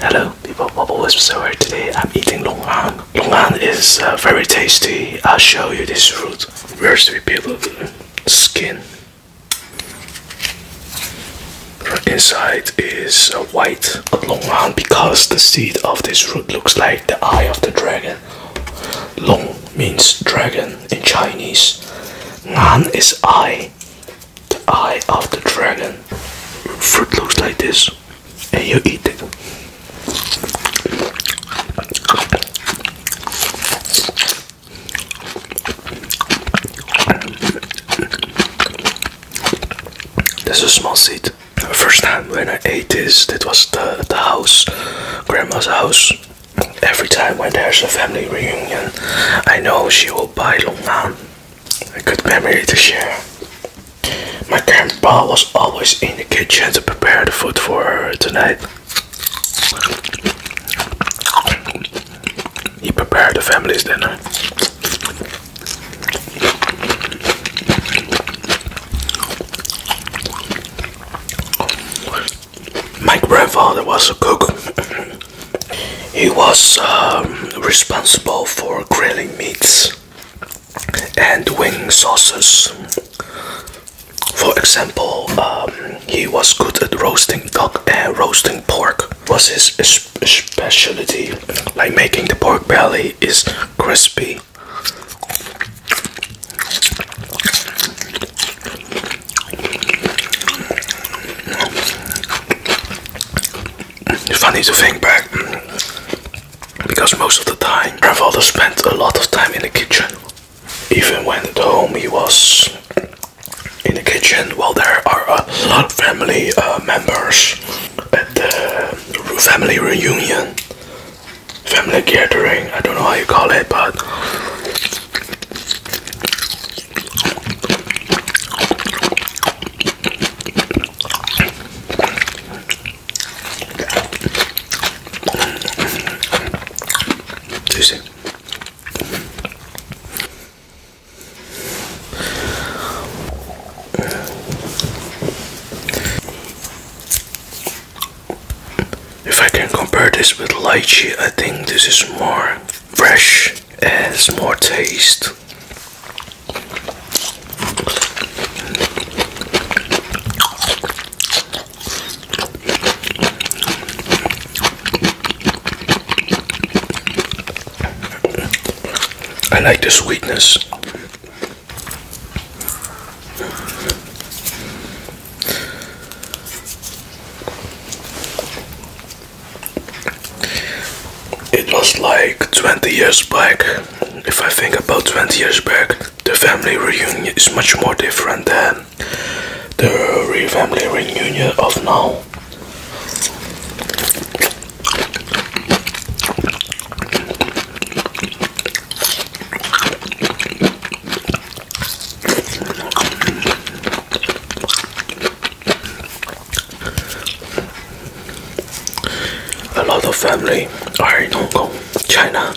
Hello, people. Bubble Whisper here. Today I'm eating longan. Longan is uh, very tasty. I'll show you this fruit. Where's the peel the skin? inside is uh, white longan because the seed of this fruit looks like the eye of the dragon. Long means dragon in Chinese. Nan is eye. The eye of the dragon fruit looks like this and you eat it This is a small seed first time when i ate this it was the, the house grandma's house every time when there's a family reunion i know she will buy longan a good memory to share. My grandpa was always in the kitchen to prepare the food for tonight. He prepared the family's dinner. My grandfather was a cook. He was um, responsible for grilling meats and wing sauces. For example, um, he was good at roasting duck and uh, roasting pork. Was his specialty, like making the pork belly is crispy. It's funny to think back because most of the time my father spent a lot of time in the kitchen even when at home he was in the kitchen well there are a lot of family uh, members at the family reunion family gathering i don't know how you call it but Juicy. If I can compare this with lychee, I think this is more fresh has more taste. I like the sweetness. It was like 20 years back. If I think about 20 years back, the family reunion is much more different than the family reunion of now. A lot of family are in Hong Kong, China,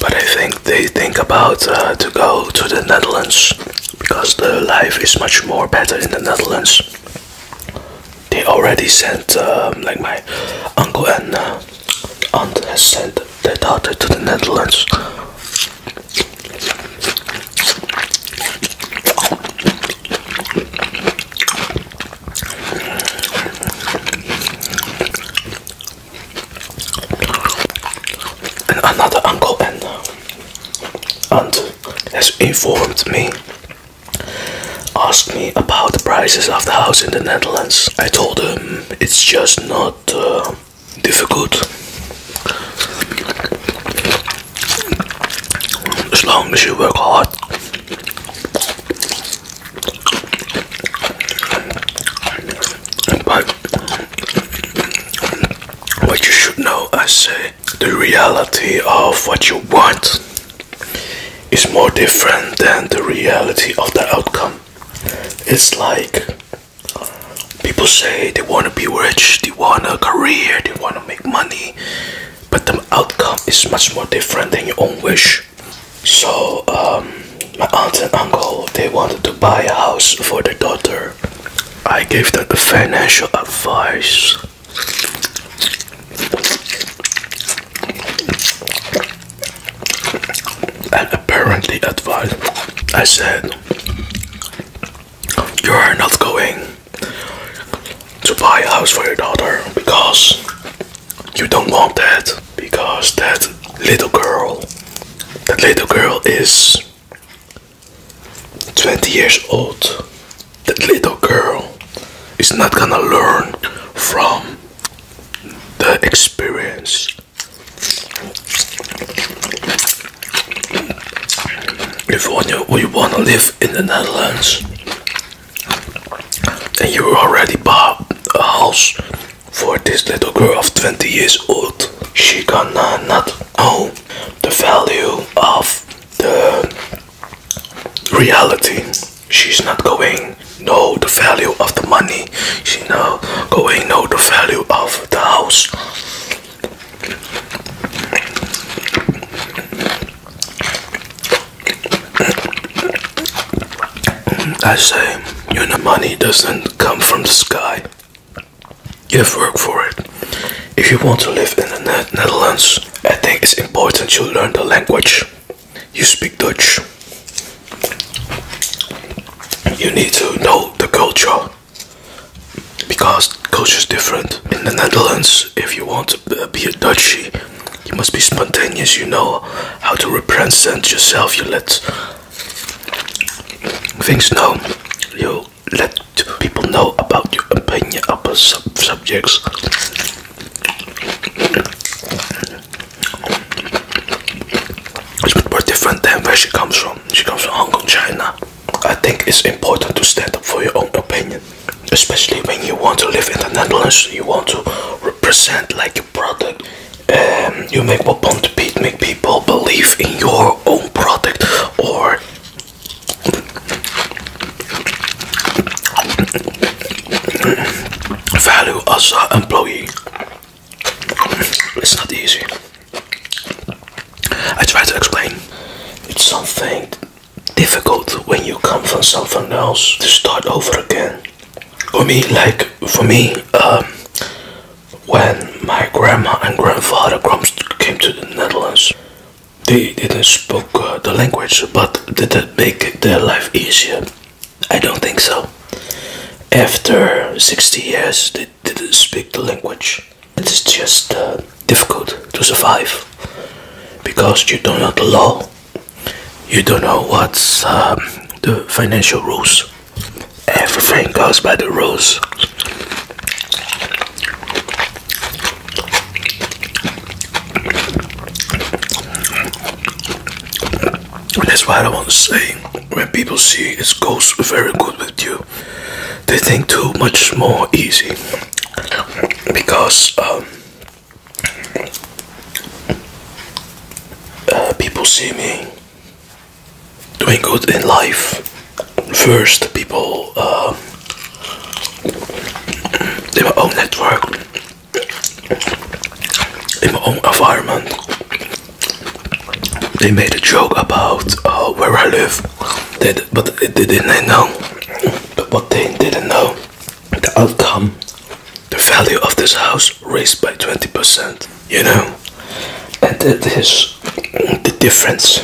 but I think they think about uh, to go to the Netherlands because the life is much more better in the Netherlands. They already sent, um, like my uncle and uh, aunt has sent their daughter to the Netherlands and another uncle and uh, aunt has informed me, asked me about the prices of the house in the Netherlands. I told them it's just not uh, difficult as long as you work hard. But what you should know, I say, the reality of what you want is more different than the reality of the outcome. It's like People say they want to be rich, they want a career, they want to make money, but the outcome is much more different than your own wish. So, um, my aunt and uncle they wanted to buy a house for their daughter. I gave them the financial advice. And apparently, advice I said, you're not going to buy a house for your daughter because you don't want that because that little girl that little girl is 20 years old that little girl is not gonna learn from the experience if you, you want to live in the Netherlands and you already bought a house for this little girl of 20 years old, she gonna not know the value of the reality. She's not going know the value of the money. She not going know the value of the house. I say, you know, money doesn't come from the sky. You have worked for it. If you want to live in the Netherlands, I think it's important you learn the language. You speak Dutch. You need to know the culture, because culture is different. In the Netherlands, if you want to be a Dutchie, you must be spontaneous. You know how to represent yourself. You let things know. You let people know about your opinion about sub subjects. It's a bit more different than where she comes from. She comes from Hong Kong, China. I think it's important to stand up for your own opinion, especially when you want to live in the Netherlands. You want to represent like your product. and um, you make people believe in your own product or. value as an employee. It's not easy. I try to explain. It's something difficult when you come from someone else to start over again. For me, like for me, um, when my grandma and grandfather came to the Netherlands, they didn't speak uh, the language, but did that make their life easier? I don't think so. After 60 years, they didn't speak the language. It is just uh, difficult to survive because you don't know the law, you don't know what's um, the financial rules. Everything goes by the rules that's why I want to say. When people see it goes very good with you, they think too much more easy because um, uh, people see me doing good in life. First, people they um, in my own network, in my own environment. They made a joke about uh, where I live, they, but they didn't know. But they didn't know the outcome. The value of this house raised by 20%. You know, and that is the difference.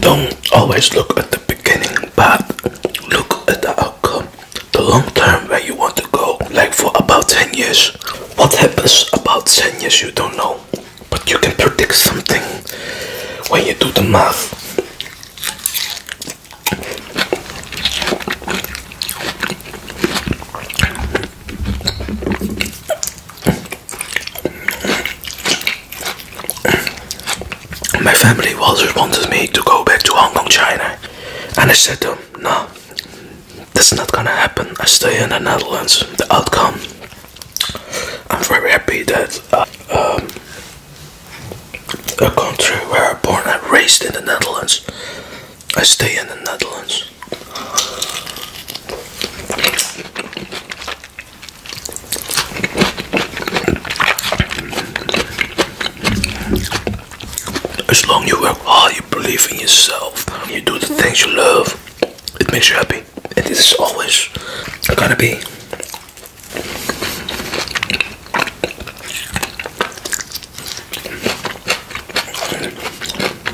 Don't always look at the beginning, but look at the outcome. The long term where you want to go, like for about 10 years. What happens about 10 years you don't know, but you can predict something when you do the math. My family always wanted me to go back to Hong Kong, China, and I said to them, No, this is not gonna happen. I stay in the Netherlands. The outcome. I'm very happy that uh, um, a country where I'm born and raised in the Netherlands I stay in the Netherlands. As long you work hard, you believe in yourself, you do the things you love, it makes you happy. And this is always gonna be.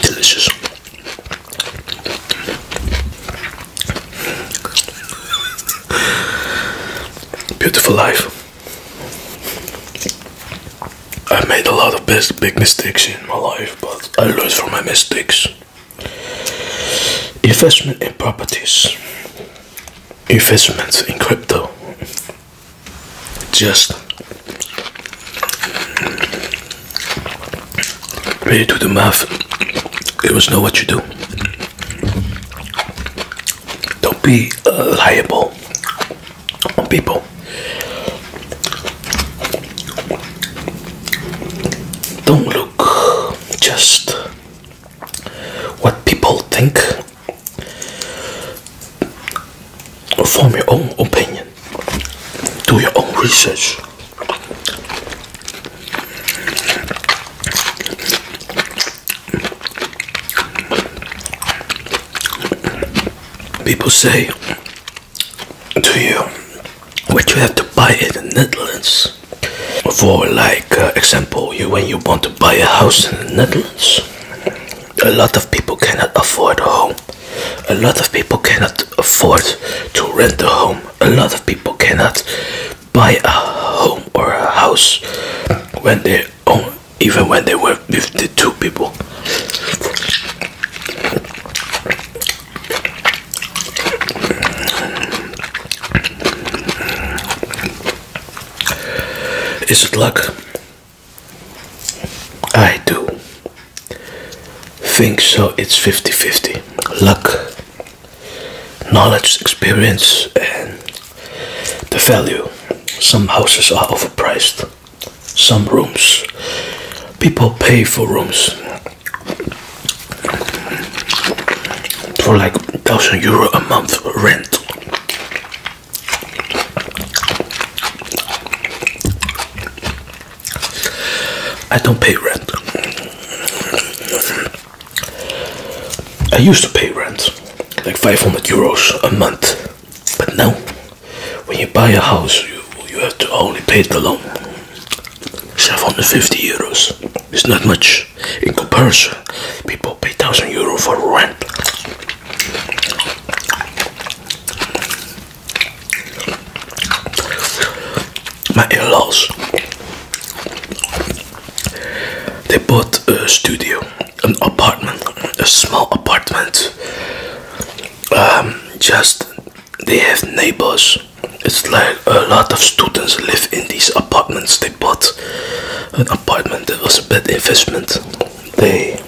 Delicious. Beautiful life. I made a lot of big mistakes in my life, but I learned from my mistakes. Investment in properties, investments in crypto, just ready to the mouth. It was know what you do. Don't be uh, liable on people. Don't look just what people think Form your own opinion. Do your own research. People say to you what you have to buy in the Netherlands. For like uh, example, you when you want to buy a house in the Netherlands, a lot of people cannot afford a home. A lot of people cannot afford to rent a home. A lot of people cannot buy a home or a house when they own, even when they were with the two people. Is it luck? I do think so. It's 50 50 luck, knowledge, experience, and the value. Some houses are overpriced, some rooms people pay for rooms for like thousand euro a month rent. I don't pay rent. I used to pay rent, like 500 euros a month, but now, when you buy a house, you, you have to only pay the loan. 750 euros is not much in comparison. People pay 1000 euro for rent. My in-laws, they bought a studio, an apartment, a small apartment. Um, just they have neighbors. It's like a lot of students live in these apartments bought an apartment that was a bad investment. They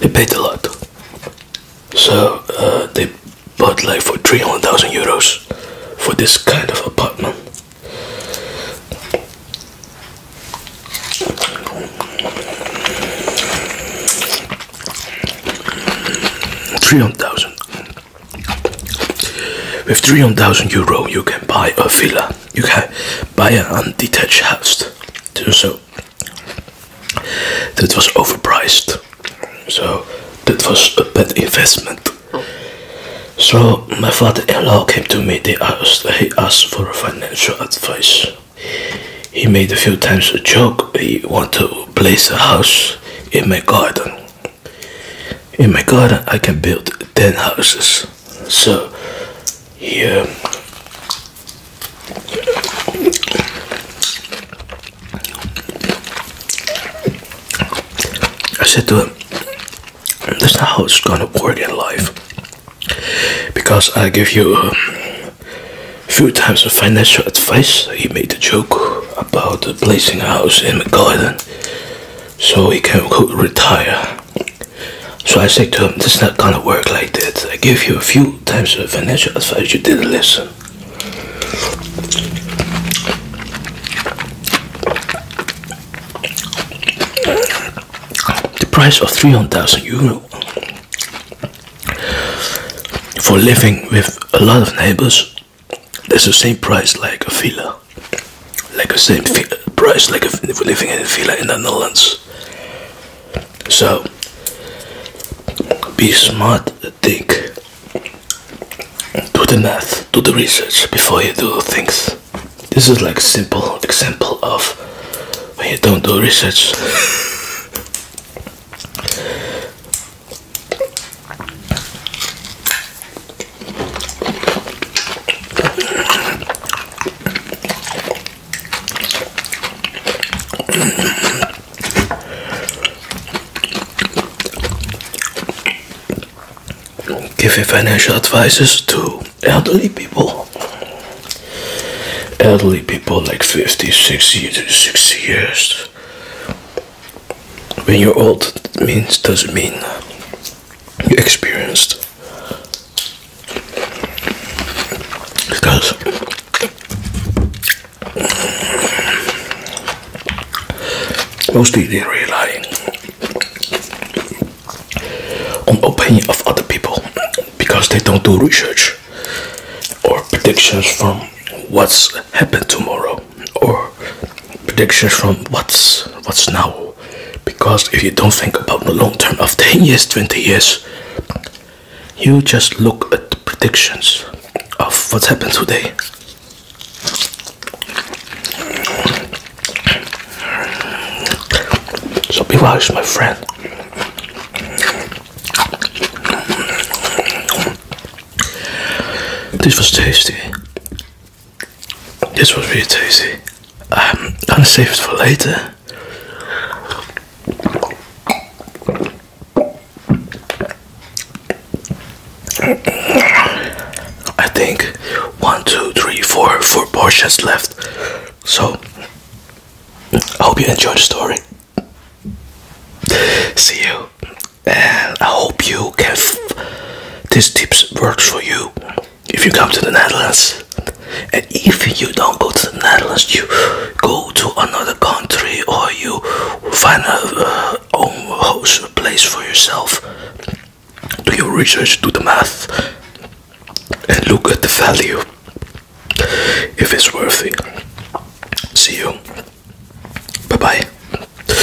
they paid a lot, so uh, they bought like for three hundred thousand euros for this kind of apartment. Three hundred thousand. With 300,000 euro, you can buy a villa you can buy an undetached house to do so. That was overpriced, so that was a bad investment. So my father-in-law came to me. They asked, he asked for financial advice. He made a few times a joke. He want to place a house in my garden in my garden I can build 10 houses so here I said to him that's not how it's gonna work in life because I give you a few times of financial advice he made a joke about placing a house in the garden so he can retire so I said to him, this is not gonna work like that. I gave you a few times of financial advice, you didn't listen. The price of 300,000 euro for living with a lot of neighbors, that's the same price like a villa like the same price like if, we're living in a villa in the Netherlands. So be smart, think, do the math, do the research before you do things. This is like simple example of when you don't do research. Give financial advices to elderly people. Elderly people like 50, 60 years. When you're old means doesn't mean you experienced because most people rely on opinion of other people because they don't do research or predictions from what's happened tomorrow or predictions from what's what's now because if you don't think about the long term of 10 years 20 years you just look at the predictions of what's happened today so be wise my friend this was tasty this was really tasty. I'm gonna save it for later. I think one, two, three, four, four portions left. So I hope you enjoy the story. See you and I hope you can. These tips works for you if you come to the Netherlands, and if you don't go to the Netherlands, you go to another country or you find a uh, own host place for yourself. Do your research, do the math, and look at the value if it's worth it. See you. Bye bye.